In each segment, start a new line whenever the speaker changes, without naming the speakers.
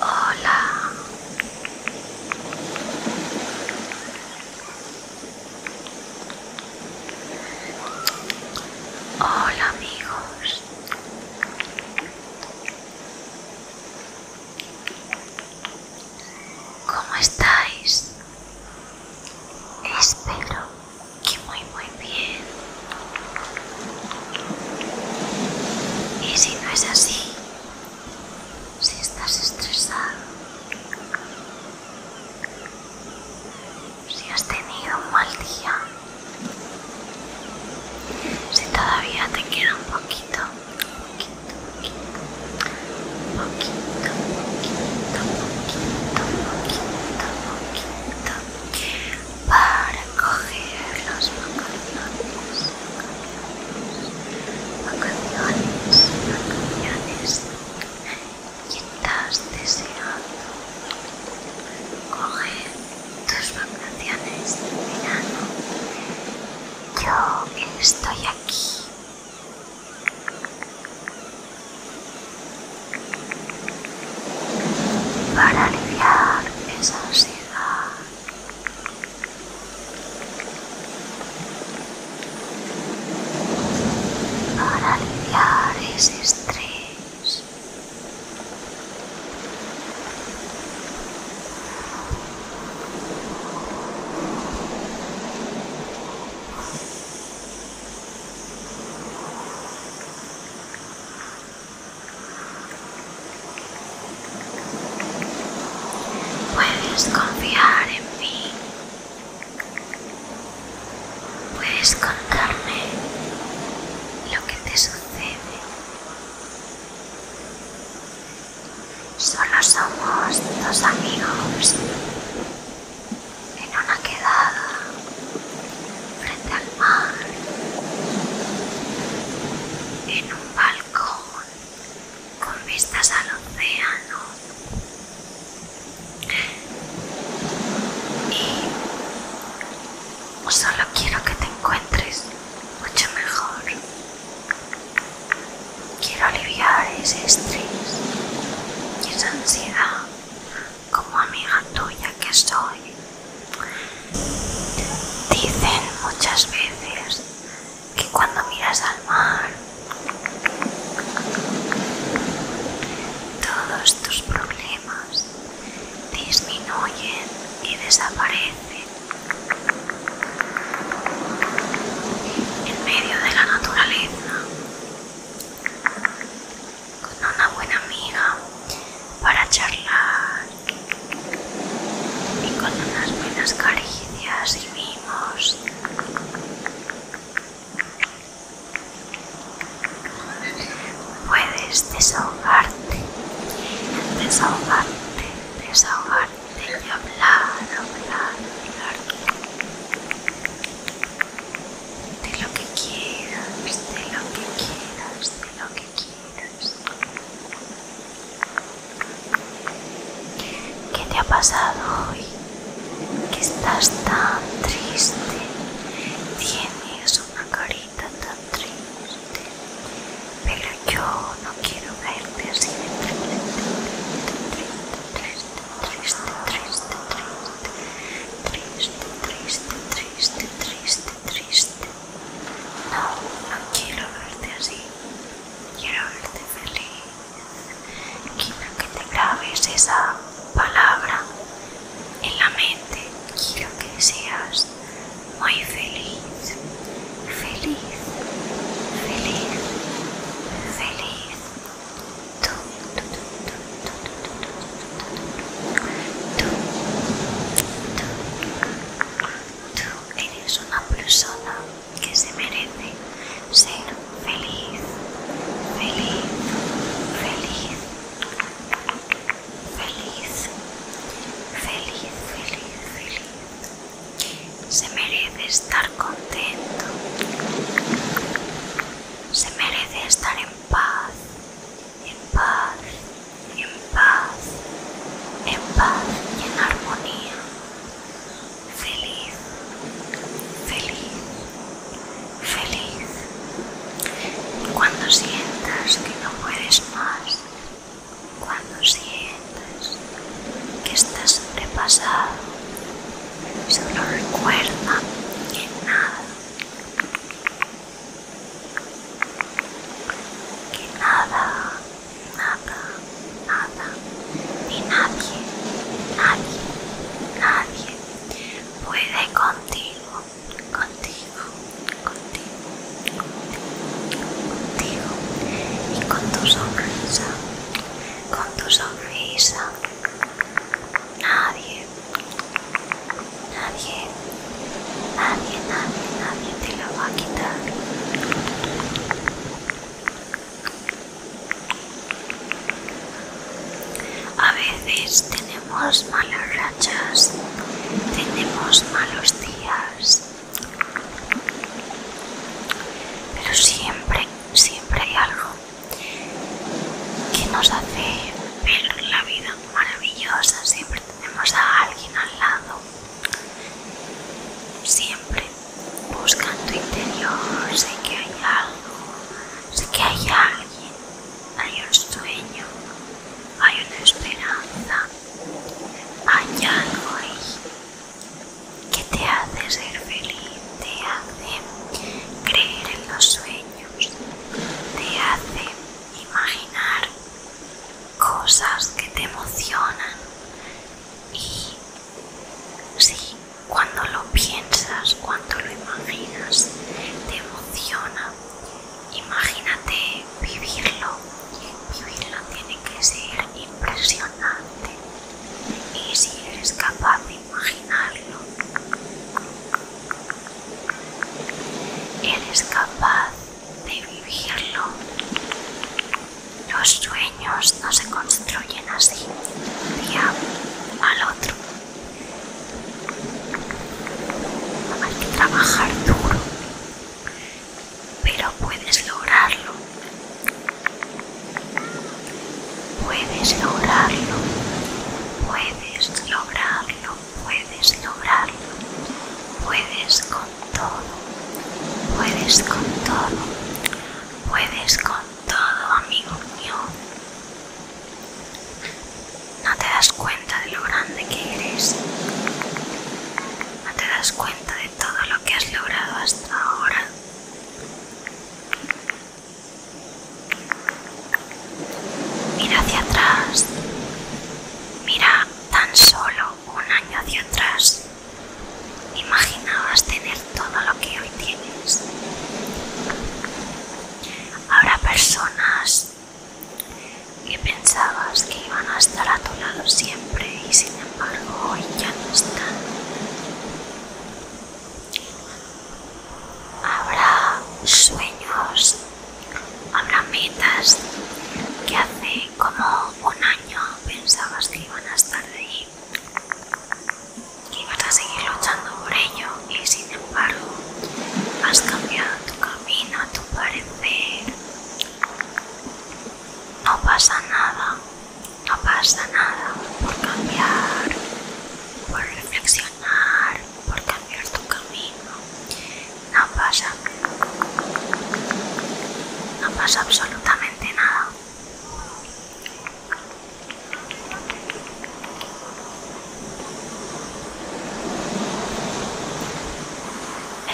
Hola. Hola amigos. ¿Cómo estáis? Espero que muy muy bien. Y si no es así, si estás estresado, si has tenido un mal día, si todavía te queda un poquito para coger los vacaciones, vacaciones, vacaciones, que estás deseando coger tus vacaciones de Yo estoy aquí para aliviar esa ansiedad. Para aliviar ese estrés. Puedes confiar en mí. Puedes contarme lo que te sucede. Solo somos dos amigos en una quedada frente al mar, en un balcón con vistas al océano y solo quiero que te encuentres mucho mejor. Quiero aliviar ese estrés y esa ansiedad como amiga tuya que soy. Dicen muchas veces que cuando miras al mar todos tus problemas disminuyen y desaparecen en medio de la naturaleza con una buena amiga para charlar y con unas buenas caricias y vimos puedes desahogarte desahogarte desahogarte de hablar, hablar, hablar de lo que quieras, de lo que quieras, de lo que quieras. ¿Qué te ha pasado hoy? Que estás tan triste, tienes una carita tan triste, pero yo no quiero verte así de triste triste, triste, triste, triste, triste, triste, triste, triste. No, no quiero verte así. Quiero verte feliz. Quiero que te grabes esa palabra en la mente. Quiero que seas muy feliz, feliz, feliz, feliz. Tú eres una persona que se merece ser feliz, feliz, feliz, feliz, feliz, feliz, feliz se merece estar contento, se merece estar en paz, en paz, en paz, en paz y en armonía, feliz, feliz, feliz. Cuando sientas que no puedes más, cuando sientas que estás sobrepasado. Solo recuerda que nada, que nada, nada, nada, ni nadie, nadie, nadie puede contigo, contigo, contigo, contigo, contigo y con tu sonrisa con tu sonrisa. Nadie, nadie, nadie, nadie, nadie te lo va a quitar. A veces tenemos malas rachas, tenemos malos días, pero siempre siempre hay algo que nos hace ver la vida maravillosa, siempre tenemos a alguien al lado, siempre buscando tu interior, sé que hay algo, sé que hay alguien, hay un sueño, hay una esperanza, hay algo que te hace ser feliz, te hace creer en los sueños, te hace imaginar cosas que te emocionan y si cuando lo piensas, cuando lo imaginas, te emociona. Imagínate vivirlo, vivirlo tiene tiene que ser impresionante y si eres capaz de imaginarlo, eres capaz de vivirlo. Los sueños no se construyen así, un día al otro. Hay que trabajar duro, pero puedes lograrlo. Puedes lograrlo, puedes lograrlo, puedes lograrlo, puedes con todo, puedes con todo, puedes con todo, amigo mío. No te das cuenta de lo grande que eres, no te das cuenta de todo lo que has logrado hasta ahora. Mira hacia atrás. Mira tan solo un año hacia atrás. Imaginabas tener todo lo que hoy tienes. Habrá personas que pensabas que iban a estar a tu lado siempre y sin embargo hoy ya no están. Habrá sueños, habrá metas que hace como un año pensabas que iban a estar ahí, Y vas a seguir luchando por ello y sin embargo has cambiado tu camino, tu parecer. No pasa nada, no pasa nada por cambiar, por reflexionar, por cambiar tu camino. No pasa, no pasa absolutamente nada.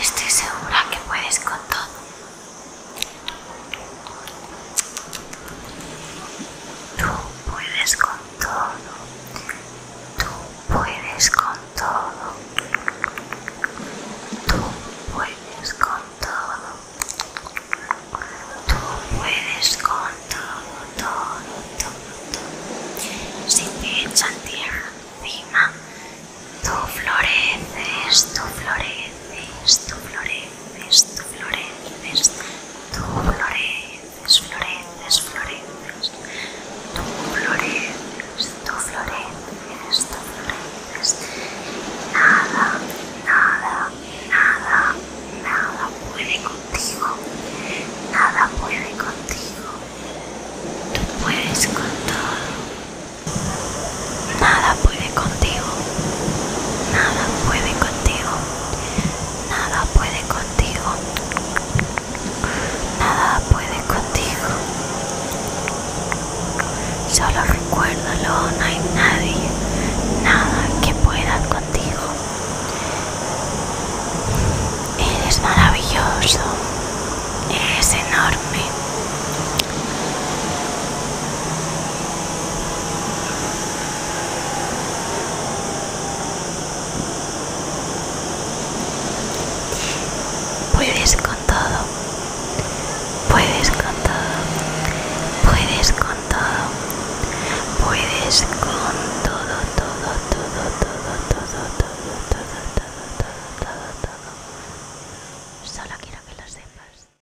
Estoy segura que puedes con todo. Tú puedes con todo. Tú puedes con todo. Tú puedes con todo. Tú puedes con todo, todo, todo. Si te echan tierra encima, tú floreces, tú floreces, tú floreces floreces, floreces, tú floreces, floreces, floreces, tú floreces, tú floreces, tú floreces. Nada, nada, nada, nada puede contigo, nada puede contigo. Tú puedes con todo. Nada puede contigo. Nada puede contigo. Nada puede contigo. Nada puede contigo. Solo recuérdalo, no hay nadie. Nada que pueda contigo. Eres maravilloso. Eres enorme. Puedes con todo, puedes con todo, puedes con todo, puedes con todo, todo, todo, todo, todo, todo, todo, todo, todo, todo, todo. Solo quiero que lo sepas.